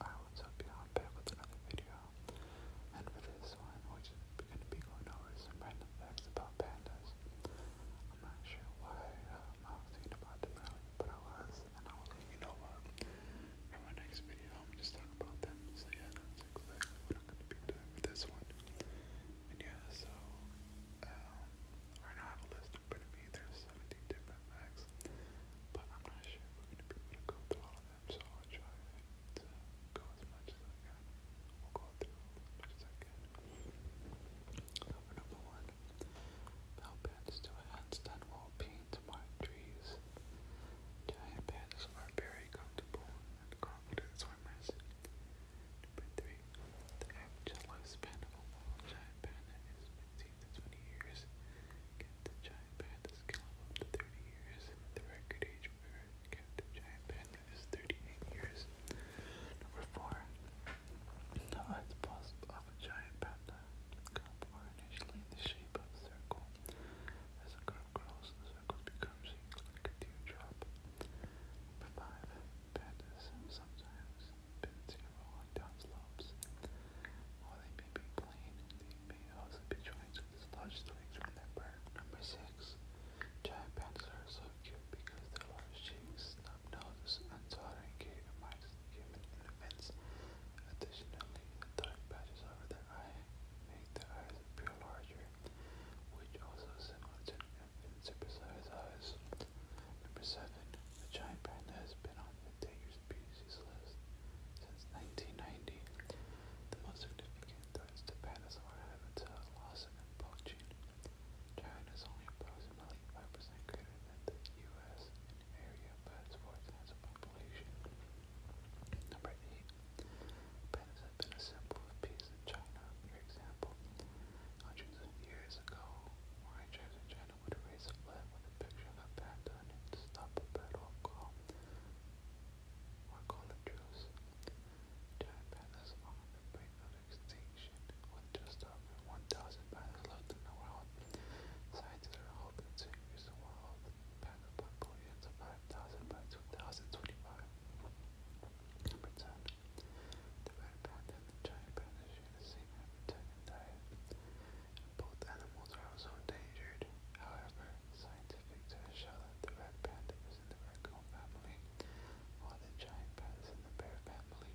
I would hope you're with another video. And for this one, we're just going to be going over some random facts about pandas. I'm not sure why um, I was thinking about them but I was, and I was like, you know what? Um, in my next video, I'm just talking about them. So yeah, that's exactly what I'm going to be doing with this one. And yeah, so um, now have a list in front me. There's 17 different facts but I'm not sure we're going to be able to go through all of them, so I'll try to go as much as I can. We'll go through as much as I can. Number, one, Bell Pandas do a handstand while peeing trees. Giant pandas are very comfortable and swimmers. Number three, the average lifespan giant panda is 20 years. Giant Panther can live up to 30 years. The record age for Captain Giant Panther is 38 years. Number 4. The odds possible of a giant panda cup are initially in the shape of a circle. As the cup grows, the circles become shaped like a teardrop. Number 5. Pandas sometimes bouncing along down they may be plain, they may also be joined with sludge twigs from Number six, giant pandas are so cute because their large cheeks, snub noses, and tottering gait remind infants. Additionally, dark patches over their eye make their eyes appear larger, which also is similar to an infant's supersized eyes. Number seven, the giant panda has been on Endangered Species List since 1990. The most significant threats to dinosaur habitat loss and poaching. China is only approximately 5% greater than the U.S. in area, but it's four times the population. Number 8. Pandas have been a symbol of peace in China. For example, hundreds of years ago, ranchers in Shannon would raise a flag when the picture got back to her to stop a battle call or call a truce. Giant pandas on the brink of extinction with just over 1,000 left in the world. Scientists are hoping to increase the world panda population 5,000 by 2025. Number 10. The red panda and the giant panda the same habitat diet. Both animals are also endangered. However, scientists show that the red panda is in the raccoon family, while the giant panda is in the bear family.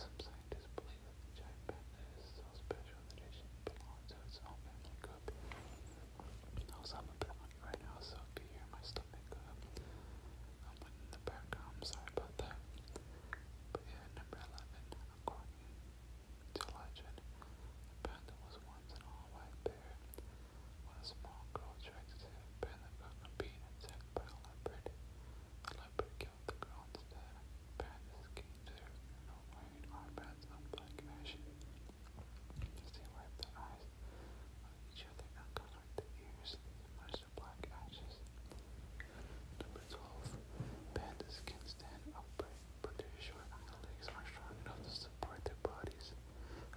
Some scientists believe that the giant panda is so special that it should belong to its own family group. I'm a uh, the background. I'm sorry about that. But yeah, number 11, according to legend, Panda was once an all-white bear. When a small girl tried to save Panda from being attacked by a leopard, the leopard killed the girl instead. Panda escaped there, no wearing armbands of black they wiped their eyes each other and covered ears, Forest of Number 12. Pandas can stand upright, their short legs are strong enough to support their bodies.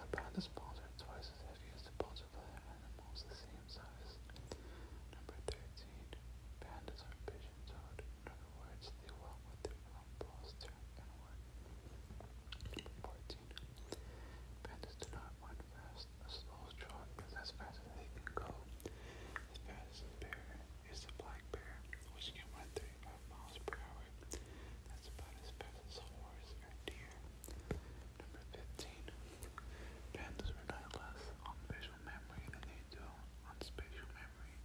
A panda's bones are twice as heavy as the bones of other animals the same size. Number 13. Pandas are pigeon-toed. In other words, they walk with their front paws turned inward. Number 14. Pandas do not run fast. slow trot is as fast as they can go. The fastest bear is the black bear, which can run 35 miles per hour. That's about as fast as a horse or deer. Number 15. Pandas rely less on visual memory than they do on spatial memory.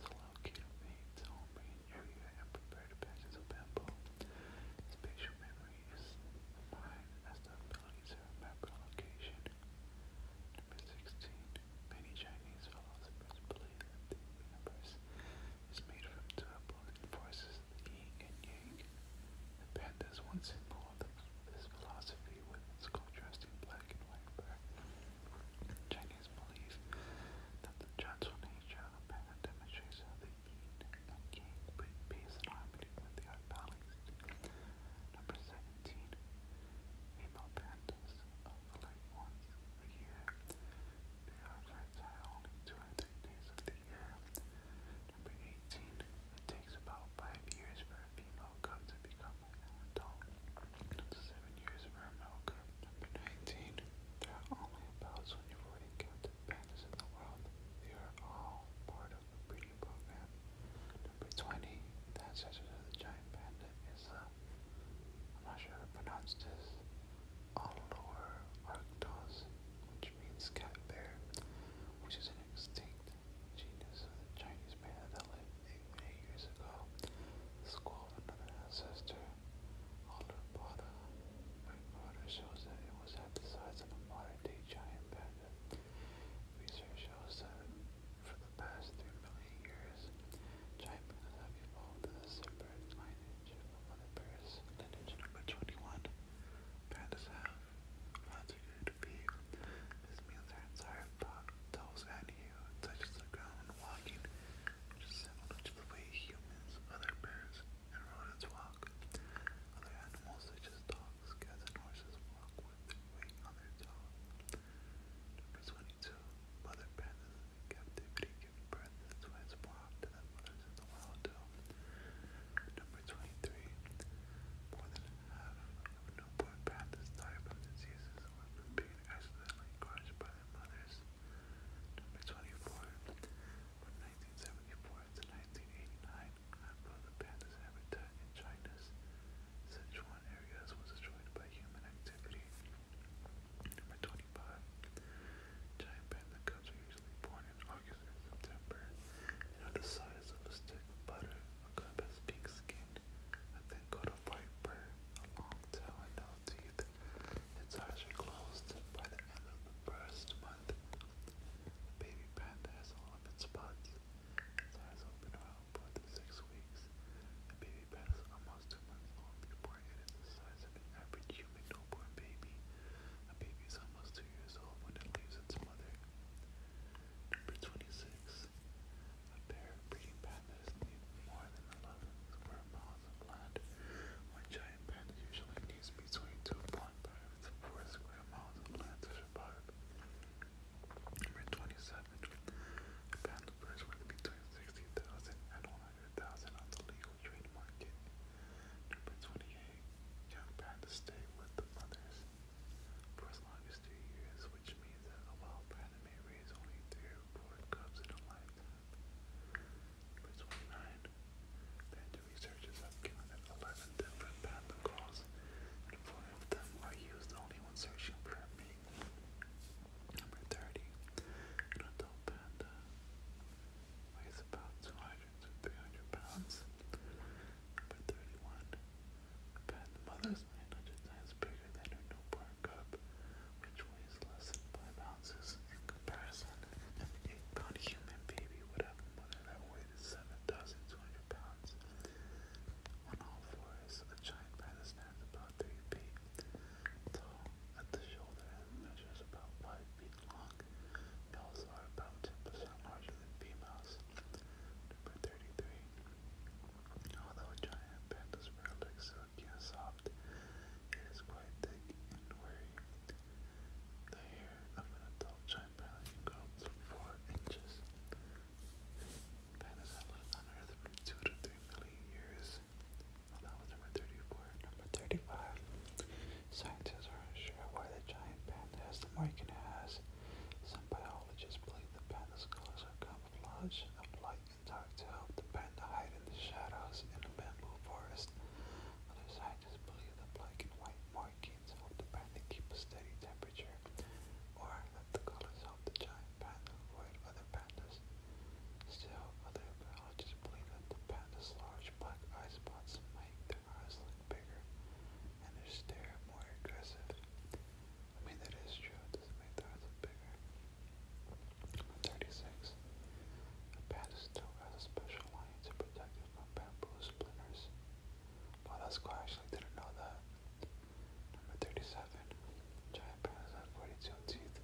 So locate the its own brain area and prepare to patches of bamboo. Spatial memory memories. Nine the ability to location. sixteen. Many Chinese philosophers believe that universe is made from two opposing forces, the yin and yang. The panda is one this philosophy with its contrasting black and white back. Chinese believe that the gentle nature of the yin and yang bring peace and harmony when they are balanced. Number 17. Female pandas of the once a year. They are fertile only two or three days of the year. Number 18. It takes about five years for a female cub to become an adult. seven years for a male cub. Number 19. There are only about 24 captive pandas in the world. They are all part of program. Number 20, the ancestor of the giant panda is the, uh, am not sure how to pronounce this, Allure arctos, which means cat bear, which is an extinct genus of the Chinese bear that lived 8 million years ago. The skull of another ancestor, shows that it was at the size of a modern-day giant panda. Research shows that for the past 3 million years, giant beetles have evolved as a separate lineage from other birds. Lineage number 21. Pandas have lots of food to feed. This means their entire pot toes at you and touches the ground when walking, which is similar to the way humans, other birds, and rodents walk. Other animals such as dogs dogs. Cats and horses walk with their weight on their toe. Number 22. Mother pandas in captivity give birth. That's why it's in the wild do. Number 23. More than half of newborn pandas die from diseases or from being accidentally crushed by their mothers. Number 24. From 1974 to 1989, half of the panda's habitat in China's Sichuan areas was destroyed by human activity. Number 25. Giant panda cubs are usually born in August and September and are the size of a stick of butter. A cub has pink skin, a thin coat of white fur, a long tail, and no teeth. Its eyes are closed by the end of the first Baby panda has all of its spots. Its eyes open around four to six weeks. The baby panda is almost two months old before it is the size of an average human newborn baby. A baby is almost two years old when it leaves its mother. Number 26. A pair of breeding pandas need more than 11 square miles of land. One giant panda usually is between 2.5 and 4 square miles of land to survive. Number 27. Pandaverse worth between 60,000 on the legal trade market. Number 28. Young pandas stay with the mothers for as long as two years, which means that a wild panda may raise only three or four cubs in a lifetime. Number 29. Then the researchers have counted 11 different patent calls, and four of them are used only when searching for a meaning. Number 30. An adult panda weighs about 200 to 300 pounds. Number 31. A panda mother's 900 times bigger than her newborn cub, which weighs less than 5 ounces. In comparison, an eight-pound human baby would have a mother that weighed 7,200 pounds. On all fours, a giant panda stands about three feet tall at the shoulder and measures about five feet long. Males are about 10% larger than females. Number 33. Although a giant panda's fur looks silky and soft, it is quite thick and wiry. The hair of an adult chimpanzee grows four inches. Pandas have lived on Earth for two to three million years. that was number thirty-four. Number thirty-five. Scientists are unsure why the giant panda has the marking it has. Some biologists believe the panda's colors are camouflage of light and dark to help the panda hide in the shadows in a bamboo forest. Other scientists believe that black and white markings help the panda keep a steady temperature, or that the colors help the giant panda avoid other pandas. Still, other biologists believe that the panda's large black eye spots make their eyes look bigger and their stare more aggressive. I mean, that is true, doesn't make their eyes look bigger. 36. A pedestal has a special lining to protect it from bamboo splinters. Wow, that's cool. I didn't know that. Number 37. Giant pandas have 42 teeth.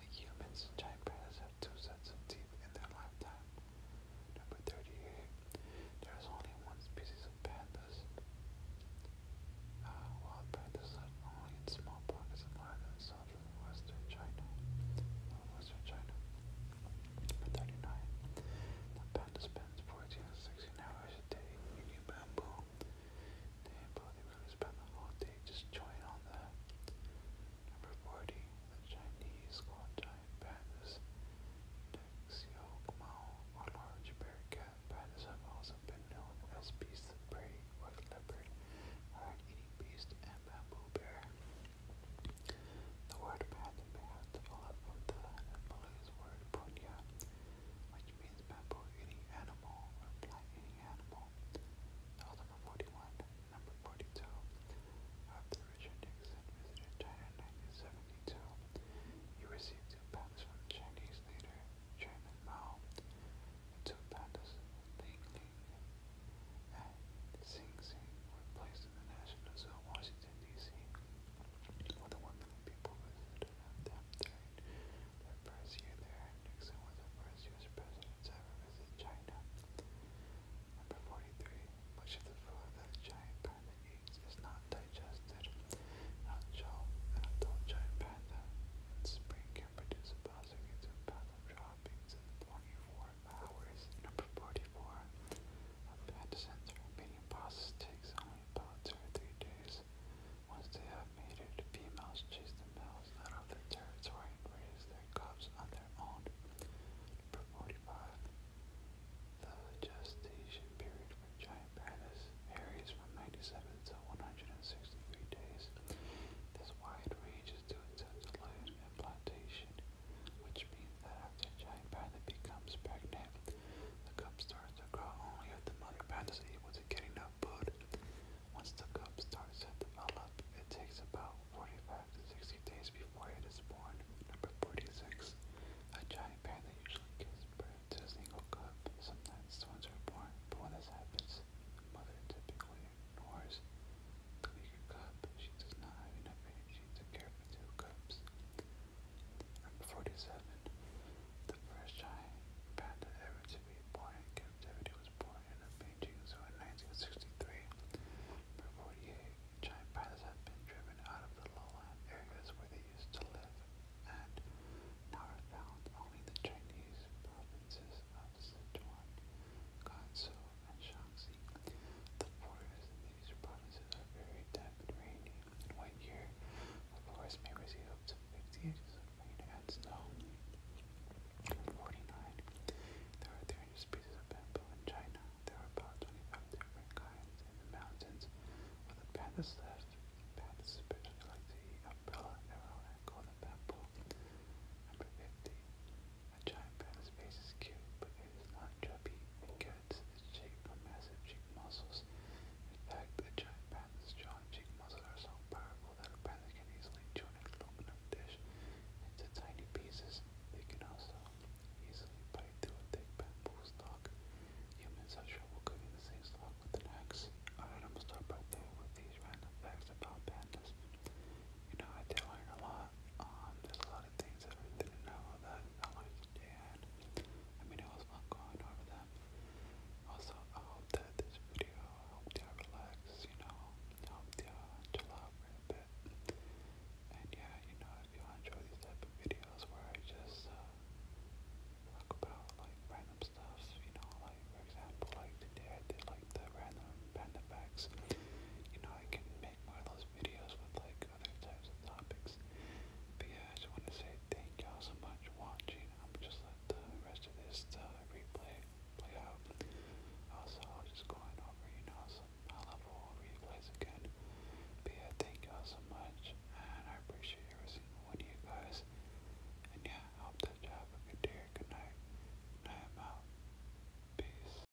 Like humans, giant pandas have two sets of teeth in their lifetime. Number 38. There is only one species of pandas. Ah, wild pandas live only in small pockets of islands southern western China, western China. Number 39. The panda spends 14 to 16 hours a day eating bamboo. They really spend the whole day just chewing on that. Number 40. Chinese giant pandas Dexiogmao, or large bear cat pandas have also been known as beasts of prey white leopard, hard-eating beast, and bamboo bear. The word path bears the the Nepalese word punya, which means bamboo-eating animal or plant-eating animal. number 41. Number 42. After Richard Nixon visited China in 1972, he received two patents from the Chinese leader, Chairman Mao, it took Pandas, Peking, and Sing were placed in the National Zoo in Washington, D.C., where the 1 million people visited them during their first year there. Nixon was the first U.S. president to visit China. Number 43. Much of the food that giant panda eats is not digested. Not shown giant panda in spring can produce approximately 2 pounds of beats in hours. Number 44. A fat mating process takes only about two or three days. Once they have mated, females chase the males out of their territory and raise their cubs on their own. Number 45. The gestation period for giant pandas varies from 97 until 163 days. This wide range is due to delayed implantation, which means that after a giant panda becomes pregnant, the cub starts to grow only if the mother panda is able to get enough food. Once the cub starts to develop, it takes about 45 to 60 days before it is born. Number 46. A giant panda usually gives birth to a single cub. Sometimes twins are born, but when this happens, Mother typically ignores the weaker cup. She does not have enough energy to care for two cups. 47. The first giant panda to be born in captivity was born in a Beijing zoo in 1963. 48, giant pandas have been driven out of the lowland areas where they used to live and are found only the Chinese provinces of Sichuan, Gansu, and Shaanxi. The forests in these provinces are very damp and rainy. In one year, the forest may receive up to 50 inches of rain and snow. 49. There are 300 species of bamboo in China. There are about 25 different kinds in the mountains. Where the pandas live, pandas especially like to eat umbrella, arrow, Connor, Golden Bamboo. Number 50. A giant pen's face is cute, but it is not chubby. It gets its shape from massive cheek muscles. In fact, the giant pen's jaw and cheek muscles are so powerful that a pen can easily chew an aluminum dish into tiny pieces. They can also easily bite through a thick bamboo stalk. Humans have trouble cooking the same stalk with the next. Alright, I'm gonna start right there with these random facts about pandas. You know, I did learn a lot. Um, there's a lot of things that I didn't know that I learned today, I mean, it was fun going over them. Also, I hope that this video helped you relax, you know, helped you chill out for a bit. And yeah, you know, if you enjoy these type of videos where I just, uh, like about like random stuff, you know, like for example, like today I did like the random panda facts. You know, I can make more of those videos with like other types of topics. yeah, I just want to say thank y'all so much for watching. I'm just let the rest of this uh, replay play out. Also, I'll just going over, you know, some high replays again. yeah, thank y'all so much, and I appreciate every single one of you guys. And yeah. I hope that you good day, good night, I am out. Peace.